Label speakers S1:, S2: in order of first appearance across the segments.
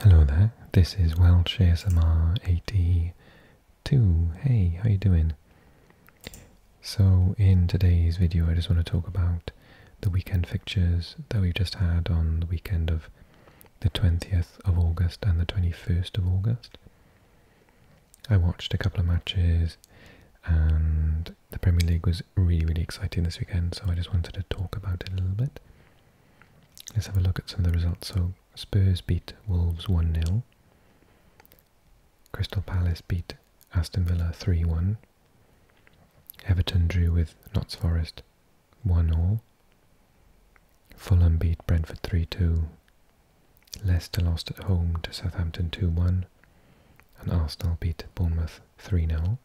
S1: Hello there, this is Welsh SMR 82. Hey, how you doing? So in today's video I just want to talk about the weekend fixtures that we've just had on the weekend of the 20th of August and the 21st of August. I watched a couple of matches and the Premier League was really, really exciting this weekend, so I just wanted to talk about it a little bit. Let's have a look at some of the results. So Spurs beat Wolves 1-0. Crystal Palace beat Aston Villa 3-1. Everton drew with Notts Forest 1-0. Fulham beat Brentford 3-2. Leicester lost at home to Southampton 2-1. And Arsenal beat Bournemouth 3-0.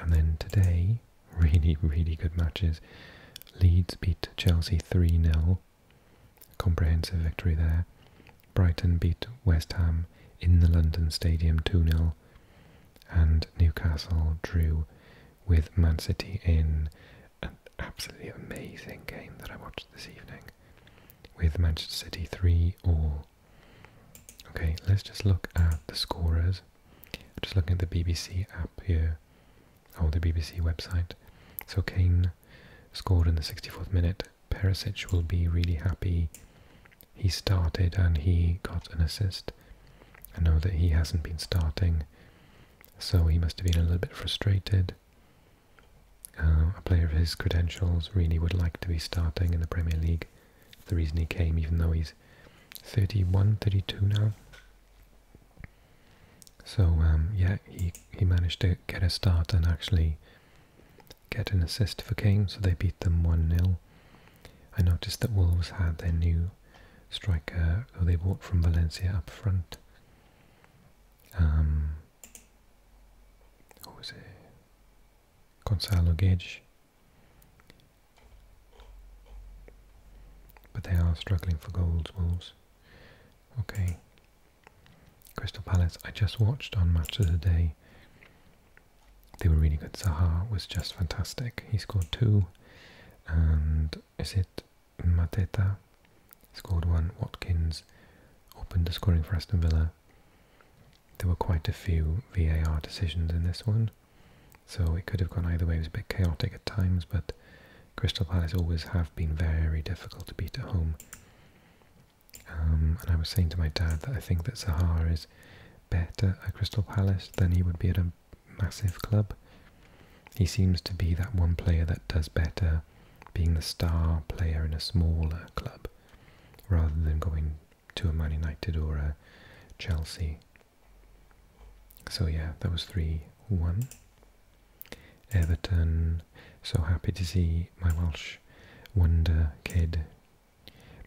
S1: And then today, really, really good matches. Leeds beat Chelsea 3 0. Comprehensive victory there. Brighton beat West Ham in the London Stadium 2 0. And Newcastle drew with Man City in an absolutely amazing game that I watched this evening. With Manchester City 3 all Okay, let's just look at the scorers. Just looking at the BBC app here, or oh, the BBC website. So Kane scored in the 64th minute. Perisic will be really happy. He started and he got an assist. I know that he hasn't been starting, so he must have been a little bit frustrated. Uh, a player of his credentials really would like to be starting in the Premier League the reason he came, even though he's 31, 32 now. So um, yeah, he, he managed to get a start and actually get an assist for Kane, so they beat them 1-0. I noticed that Wolves had their new striker, who they bought from Valencia up front. Um, who was it? Gonzalo Gage. But they are struggling for goals, Wolves. Okay. Crystal Palace, I just watched on Match of the Day. They were really good. Zaha was just fantastic. He scored two. And is it Mateta? Scored one. Watkins opened the scoring for Aston Villa there were quite a few VAR decisions in this one, so it could have gone either way. It was a bit chaotic at times, but Crystal Palace always have been very difficult to beat at home. Um, and I was saying to my dad that I think that Sahar is better at Crystal Palace than he would be at a massive club. He seems to be that one player that does better being the star player in a smaller club rather than going to a Man United or a Chelsea. So yeah, that was 3-1. Everton, so happy to see my Welsh wonder kid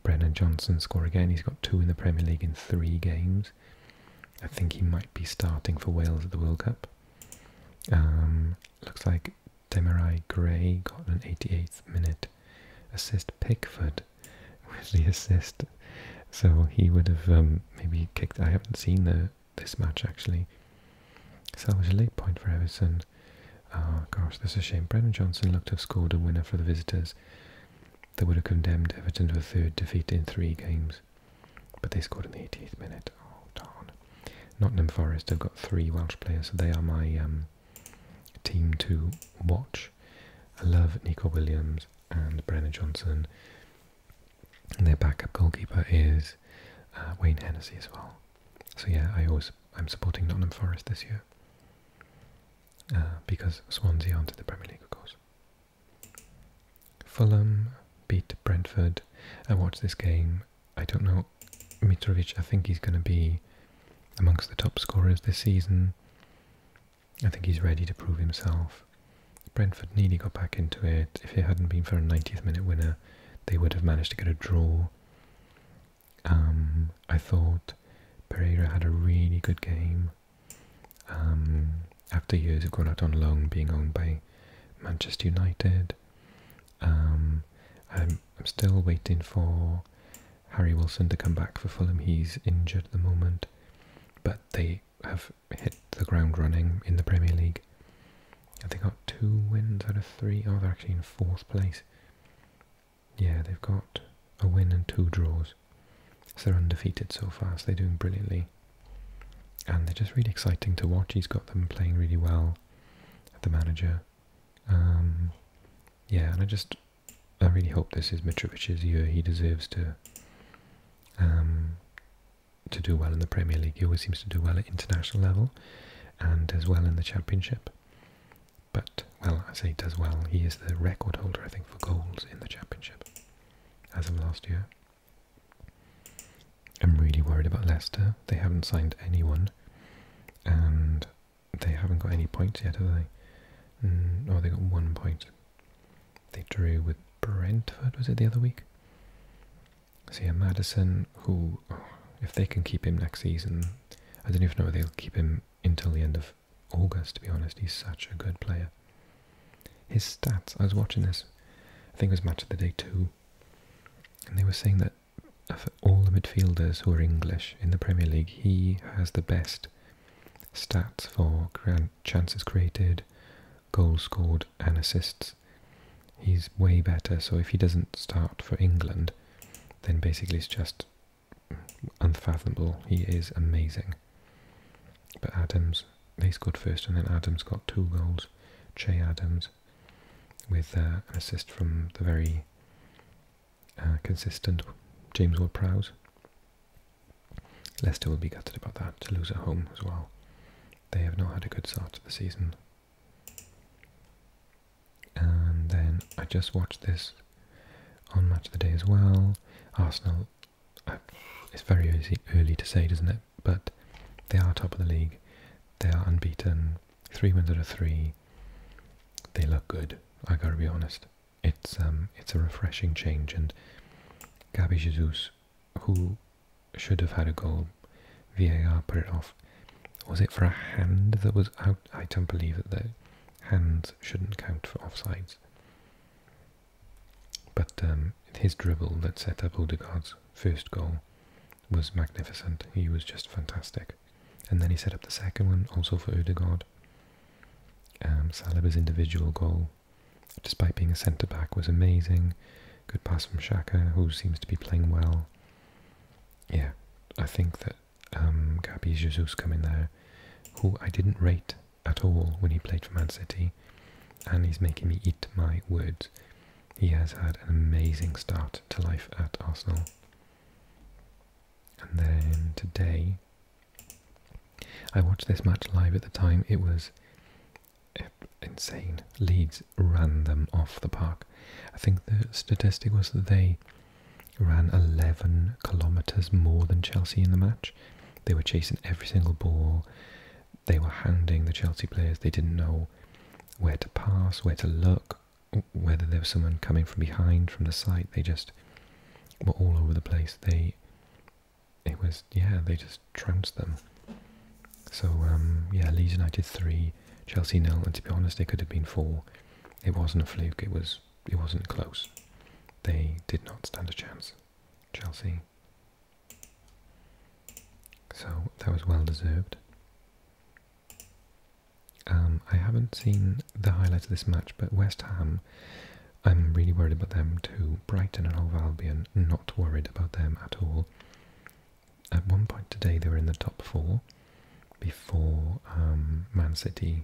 S1: Brennan Johnson score again. He's got two in the Premier League in three games. I think he might be starting for Wales at the World Cup. Um, looks like Demarai Gray got an 88th minute assist. Pickford with the assist, so he would have um, maybe kicked. I haven't seen the this match actually. So it was a late point for Everton. Ah, gosh, that's a shame. Brendan Johnson looked to have scored a winner for the visitors. That would have condemned Everton to a third defeat in three games, but they scored in the 88th minute. Oh darn! Nottingham Forest have got three Welsh players, so they are my um, team to watch. I love Nico Williams and Brennan Johnson. And their backup goalkeeper is uh, Wayne Hennessy as well. So yeah, I am supporting Nottingham Forest this year uh, because Swansea entered the Premier League, of course. Fulham beat Brentford. I watched this game. I don't know Mitrovic, I think he's going to be amongst the top scorers this season. I think he's ready to prove himself. Brentford nearly got back into it. If it hadn't been for a 90th minute winner, they would have managed to get a draw. Um, I thought Pereira had a really good game. Um, after years of going out on loan, being owned by Manchester United, um, I'm, still waiting for Harry Wilson to come back for Fulham. He's injured at the moment, but they have hit the ground running in the Premier League. They got two wins out of three. Oh, they're actually in fourth place. Yeah, they've got a win and two draws. So they're undefeated so far, they're doing brilliantly. And they're just really exciting to watch. He's got them playing really well. The manager um, yeah, and I just, I really hope this is Mitrovic's year. He deserves to um, to do well in the Premier League. He always seems to do well at international level and as well in the Championship. But, well, I say does well. He is the record holder, I think, for goals in the Championship as of last year. I'm really worried about Leicester. They haven't signed anyone, and they haven't got any points yet, have they? Mm, oh, they got one point. They drew with Brentford, was it the other week? See, yeah, Madison, who, oh, if they can keep him next season, I don't even know whether they'll keep him until the end of August, to be honest. He's such a good player. His stats, I was watching this, I think it was Match of the Day 2, and they were saying that of all the midfielders who are English in the Premier League, he has the best stats for chances created, goals scored, and assists. He's way better. So if he doesn't start for England, then basically it's just unfathomable. He is amazing. But Adams, they scored first, and then Adams got two goals. Che Adams, with uh, an assist from the very uh, consistent James Ward-Prowse. Leicester will be gutted about that, to lose at home as well. They have not had a good start to the season. And then I just watched this on Match of the Day as well. Arsenal, uh, it's very early to say, doesn't it? but they are top of the league. They are unbeaten, three wins out of three. They look good. I gotta be honest. It's um, it's a refreshing change, and Gabi Jesus, who should have had a goal, VAR put it off. Was it for a hand that was out? I don't believe that the hands shouldn't count for offsides. But um, his dribble that set up Odegaard's first goal was magnificent. He was just fantastic. And then he set up the second one, also for Odegaard. Um, Saliba's individual goal, despite being a centre-back, was amazing. Good pass from Shaka, who seems to be playing well. Yeah, I think that um, Gabi Jesus come there, who I didn't rate at all when he played for Man City, and he's making me eat my words. He has had an amazing start to life at Arsenal. And then today, I watched this match live at the time. It was insane. Leeds ran them off the park. I think the statistic was that they ran 11 kilometres more than Chelsea in the match. They were chasing every single ball they were hounding the Chelsea players. They didn't know where to pass, where to look, whether there was someone coming from behind, from the side. They just were all over the place. They, it was, yeah, they just trounced them. So, um, yeah, Leeds United 3, Chelsea nil, and to be honest, it could have been 4. It wasn't a fluke, it, was, it wasn't close. They did not stand a chance. Chelsea so that was well deserved. Um, I haven't seen the highlights of this match, but West Ham, I'm really worried about them too. Brighton and Hove Albion, not worried about them at all. At one point today, they were in the top four before um, Man City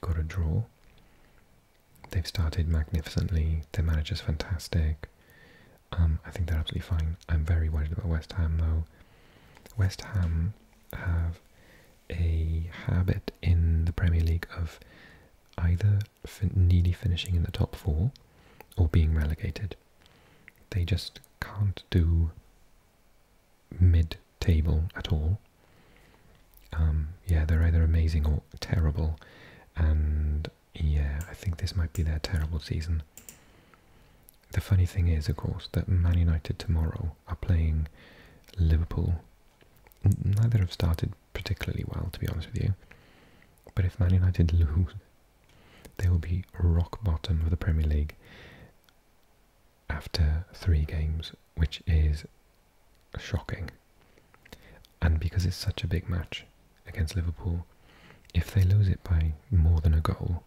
S1: got a draw. They've started magnificently. Their manager's fantastic. Um, I think they're absolutely fine. I'm very worried about West Ham though. West Ham have a habit in the Premier League of either nearly finishing in the top four or being relegated. They just can't do mid-table at all. Um, yeah, they're either amazing or terrible, and yeah, I think this might be their terrible season. The funny thing is, of course, that Man United tomorrow are playing Liverpool. Neither have started particularly well, to be honest with you. But if Man United lose, they will be rock bottom of the Premier League after three games, which is shocking. And because it's such a big match against Liverpool, if they lose it by more than a goal,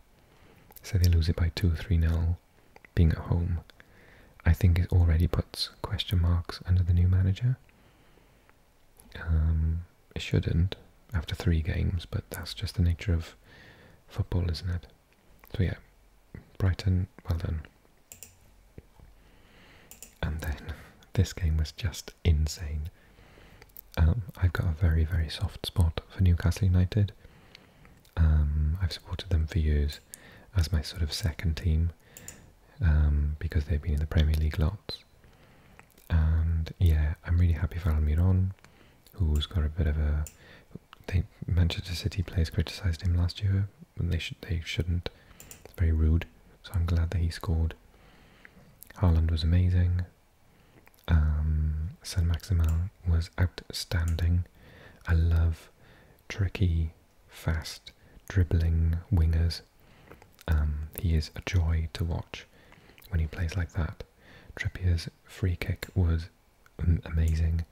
S1: say they lose it by 2 or 3 nil, being at home, I think it already puts question marks under the new manager. Um, it shouldn't after three games, but that's just the nature of football, isn't it? So yeah, Brighton, well done. And then this game was just insane. Um, I've got a very, very soft spot for Newcastle United. Um, I've supported them for years as my sort of second team um, because they've been in the Premier League lots. And yeah, I'm really happy for Almiron, who's got a bit of a. Manchester City players criticised him last year they should they shouldn't. It's very rude. So I'm glad that he scored. Haaland was amazing. Um, San Maximin was outstanding. I love tricky, fast, dribbling wingers. Um, he is a joy to watch when he plays like that. Trippier's free kick was amazing.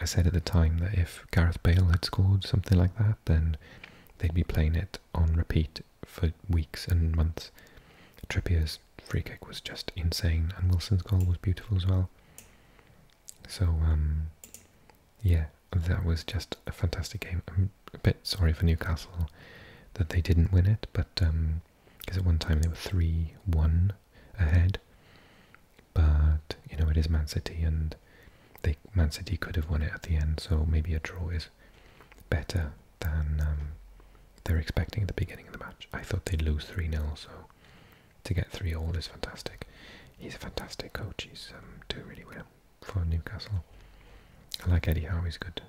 S1: I said at the time that if Gareth Bale had scored something like that, then they'd be playing it on repeat for weeks and months. Trippier's free kick was just insane, and Wilson's goal was beautiful as well. So, um, yeah, that was just a fantastic game. I'm a bit sorry for Newcastle that they didn't win it, but because um, at one time they were 3 1 ahead, but you know it is Man City, and they Man City could have won it at the end. So maybe a draw is better than um, they're expecting at the beginning of the match. I thought they'd lose three 0 so to get three all is fantastic. He's a fantastic coach. He's um, doing really well for Newcastle. I like Eddie Howe. He's good.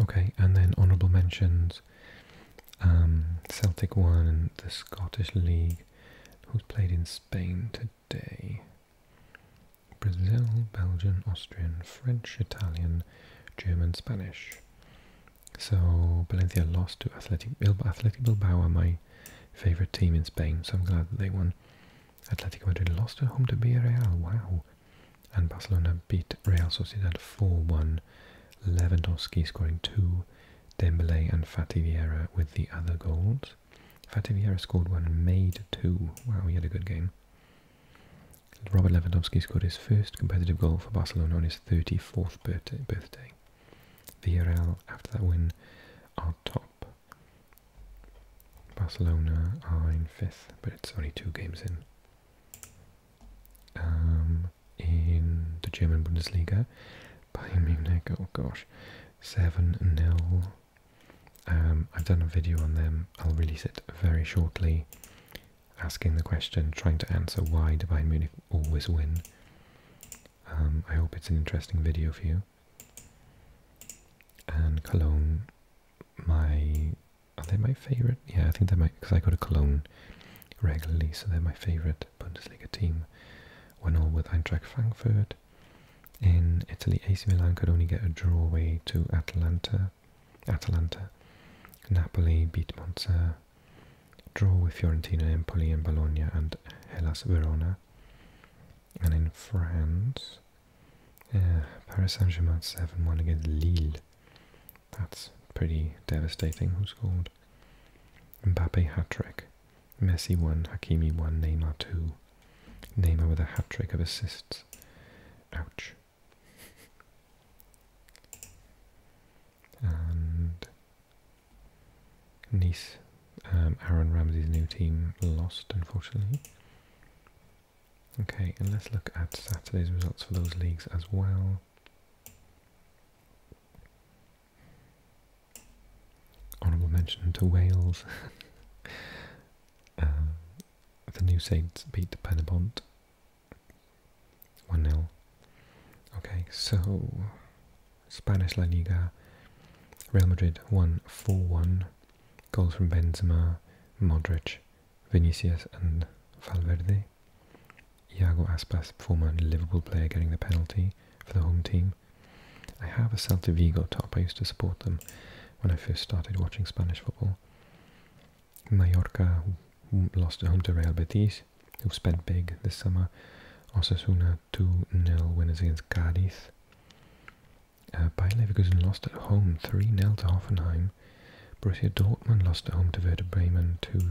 S1: Okay, and then honourable mentions. Um, Celtic won the Scottish League who's played in Spain today. Brazil, Belgian, Austrian, French, Italian, German, Spanish. So Valencia lost to Athletic Bilbao. my favourite team in Spain, so I'm glad that they won. Athletic Madrid lost at home to Villarreal. Wow. And Barcelona beat Real Sociedad 4-1. Lewandowski scoring two Dembele and Fati Vieira with the other goals. Fati Vieira scored one and made two. Wow, he had a good game. Robert Lewandowski scored his first competitive goal for Barcelona on his 34th birthday. Villarreal, after that win, are top. Barcelona are in fifth, but it's only two games in. Um, in the German Bundesliga. Bayern Munich, oh gosh, 7 0. Um, I've done a video on them, I'll release it very shortly, asking the question, trying to answer why do Bayern Munich always win. Um, I hope it's an interesting video for you. And Cologne, my, are they my favourite? Yeah, I think they're my, because I go to Cologne regularly, so they're my favourite. Bundesliga team, one all with Eintracht Frankfurt. In Italy, AC Milan could only get a draw away to Atalanta. Atalanta, Napoli beat Monza, draw with Fiorentina, Empoli, and Bologna, and Hellas Verona. And in France, uh, Paris Saint Germain 7 1 against Lille. That's pretty devastating. Who scored? Mbappe hat-trick. Messi 1, Hakimi 1, Neymar 2. Neymar with a hat-trick of assists. Ouch. and Nice, um, Aaron Ramsey's new team lost, unfortunately. Okay, and let's look at Saturday's results for those leagues as well. Honourable mention to Wales. Uh, the New Saints beat Penabont 1 0. Okay, so Spanish La Liga, Real Madrid won 4 1. Goals from Benzema, Modric, Vinicius, and Valverde. Iago Aspas, former Liverpool player, getting the penalty for the home team. I have a Celtic Vigo top. I used to support them when I first started watching Spanish football. Mallorca lost at home to Real Betis, who spent big this summer. Osasuna 2-0 winners against Cadiz. Uh, Bayer Leverkusen lost at home 3 nil to Hoffenheim. Borussia Dortmund lost at home to Werder Bremen 2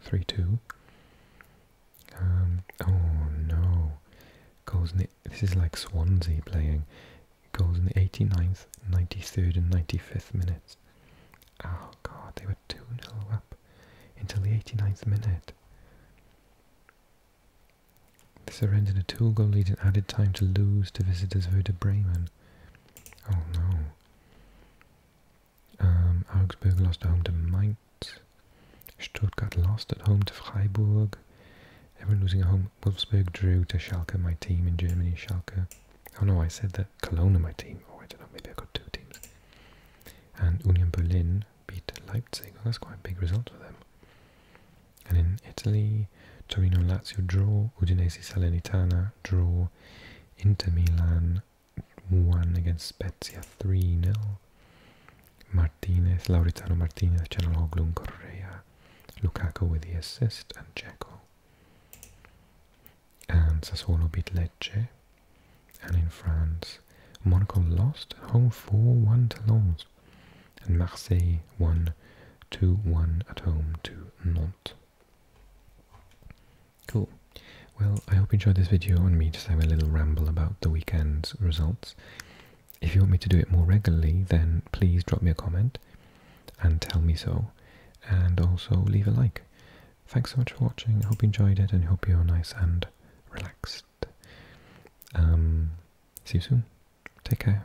S1: three two. Um, oh no, goals this is like Swansea playing. Goals in the 89th, 93rd, and 95th minutes. Oh god, they were 2 0 up until the 89th minute. They surrendered a two goal lead and added time to lose to visitors Werder Bremen. Oh no. Ähm, Augsburg lost at home to Mainz. Stuttgart lost at home to Freiburg. Everyone losing at home. Wolfsburg drew to Schalke, my team in Germany. Schalke. Oh no, I said that Cologne my team. Oh, I don't know. Maybe I got two teams. And Union Berlin beat Leipzig. that's quite a big result for them. And in Italy, Torino Lazio draw. Udinese Salernitana draw. Inter Milan 1 against Spezia 3 nil. Martinez, Lauritano Martinez, Chanologlu and Correa. Lukaku with the assist and Dzeko. And Sassuolo beat Lecce. And in France, Monaco lost home 4-1 to Lens. And Marseille one two one at home to Nantes. Cool. Well, I hope you enjoyed this video on me just having a little ramble about the weekend's results. If you want me to do it more regularly, then please drop me a comment and tell me so. And also leave a like. Thanks so much for watching. I hope you enjoyed it and hope you're nice and relaxed. Um, see you soon. Take care.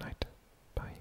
S1: night. Bye.